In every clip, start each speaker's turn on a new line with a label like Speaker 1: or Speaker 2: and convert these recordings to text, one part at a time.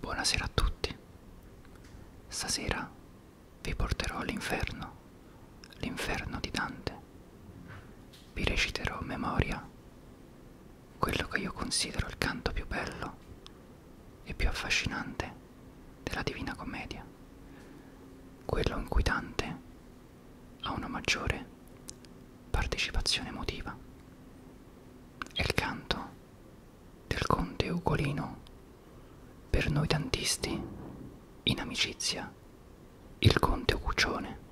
Speaker 1: Buonasera a tutti. Stasera vi porterò all'inferno, l'inferno di Dante. Vi reciterò a memoria quello che io considero il canto più bello e più affascinante della Divina Commedia, quello in cui Dante a una maggiore partecipazione emotiva. È il canto del conte Ugolino, per noi tantisti, in amicizia, il conte Uguccione.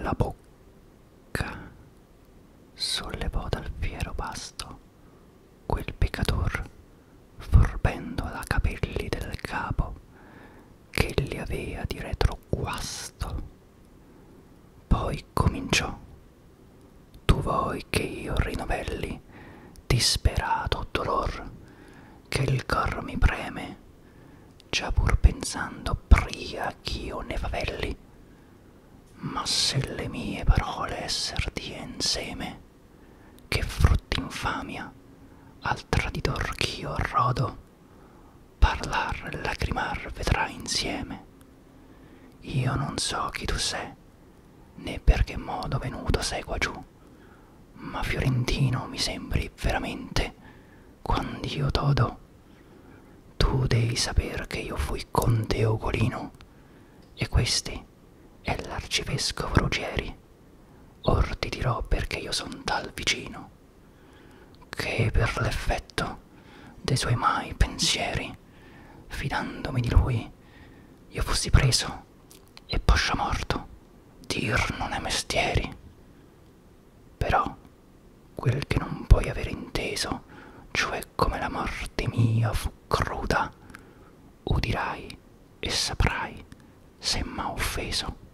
Speaker 1: La bocca sollevò dal fiero pasto quel peccator forbendo la capelli del capo che li avea di retro guasto poi cominciò tu vuoi che io rinovelli disperato dolor che il cor mi preme già pur pensando pria ch'io ne favelli ma se le mie parole esser die inseme, che frutti infamia al traditor ch'io rodo, parlar e lacrimar vedrà insieme. Io non so chi tu sei, né per che modo venuto sei qua giù, ma fiorentino mi sembri veramente, quando io t'odo. Tu devi saper che io fui lui conte Ugolino e questi è l'arcivescovo Ruggeri. Or ti dirò perché io son tal vicino, che per l'effetto dei suoi mai pensieri, fidandomi di lui, io fossi preso e poscia morto, dir non è mestieri. Però quel che non puoi aver inteso, cioè come la morte mia fu cruda, udirai e saprai se m'ha offeso.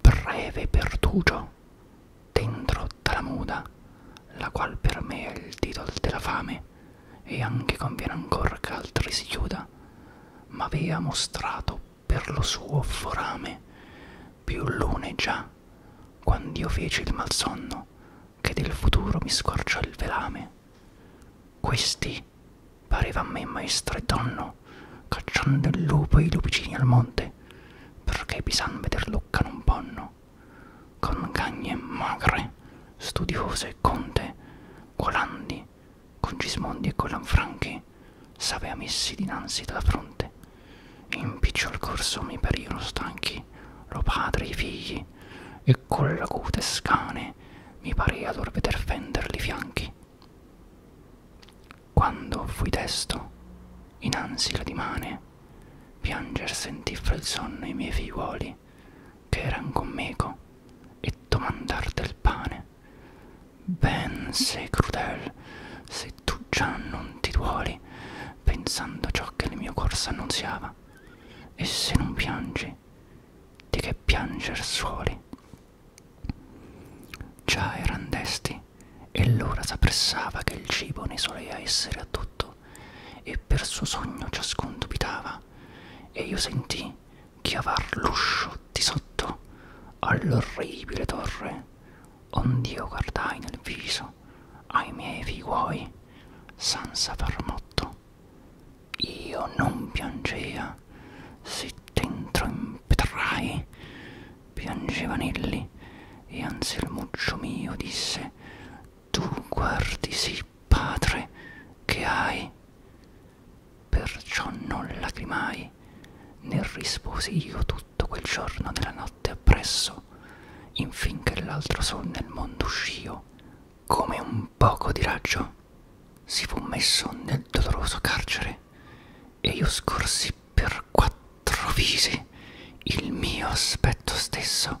Speaker 1: Breve pertugio, dentro Talamuda, la qual per me è il titol della fame, e anche conviene ancor che altri si chiuda, m'avea mostrato per lo suo forame più lune già quand'io feci il malsonno che del futuro mi scorciò il velame questi pareva a me maestro e donno cacciando il lupo e i lupicini al monte perché pisan veder lucca non ponno con gagne magre studiose e conte quolandi con Gismondi e con Lanfranchi, s'avea messi dinanzi dalla fronte. Impicciò al corso mi parivano stanchi, lo padre e i figli, e con l'acute scane mi parea lor veder fenderli fianchi. Quando fui testo, innanzi la dimane, pianger sentì fra il sonno i miei figliuoli, che eran con meco, e domandar del pane. Ben sei crudel, se tu già non ti duoli, pensando ciò che il mio corso annunziava, e se non piangi, di che pianger suoli. Già eran desti, e l'ora s'appressava che il cibo ne solea essere a tutto, e per suo sogno ciascun dubitava, e io sentì chiavar l'uscio di sotto all'orribile torre, ond'io guardai nel viso ai miei figliuoi senza far motto. Io non piangea, si dentro impetrai, piangeva Nelli, e anzi il muccio mio disse tu guardi sì, padre, che hai. Perciò non lacrimai, né risposi io tutto quel giorno nella notte appresso, infin che l'altro sol nel mondo uscio, come un poco di raggio, si fu messo nel doloroso carcere, e io scorsi per quattro visi il mio aspetto stesso,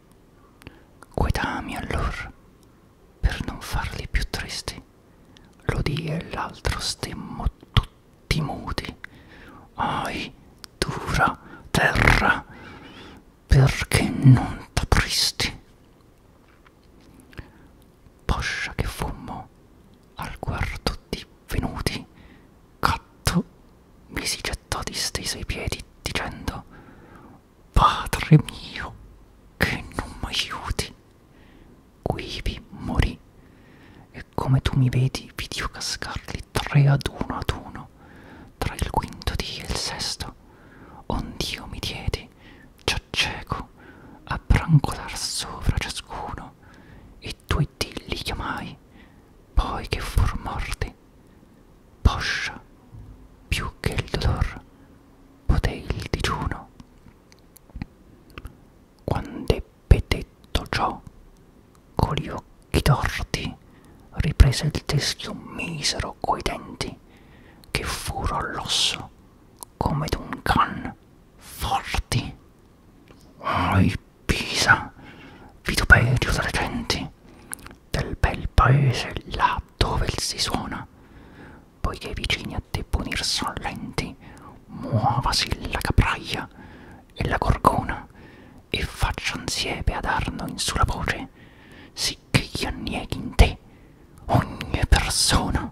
Speaker 1: Guidami allor, per non farli più tristi, l'udì e l'altro stemmo tutti muti. Ahi, dura terra, perché non t'apristi? Poscia che fummo al guardo divenuti, catto mi si gettò disteso ai piedi dicendo Padre mio, che non m'aiuti. Quivi morì e come tu mi vedi vidio cascarli tre ad uno ad uno, tra il quinto dì e il sesto, ond'io mi diedi, già cieco, a brancolar sopra ciascuno, e due dì li chiamai, poi che fur morti, poscia più che il dolor potei il digiuno quand'ebbe detto ciò con gli occhi torti riprese il teschio misero coi denti che furo all'osso come d'un can forti ai Pisa, vituperio tra le genti, del bel paese là dove il si suona, poiché i vicini a te punir son lenti, muovasi la capraia e la gorgona, e faccian siepe ad Arno in sulla voce, sì che gli annieghi in te ogni persona.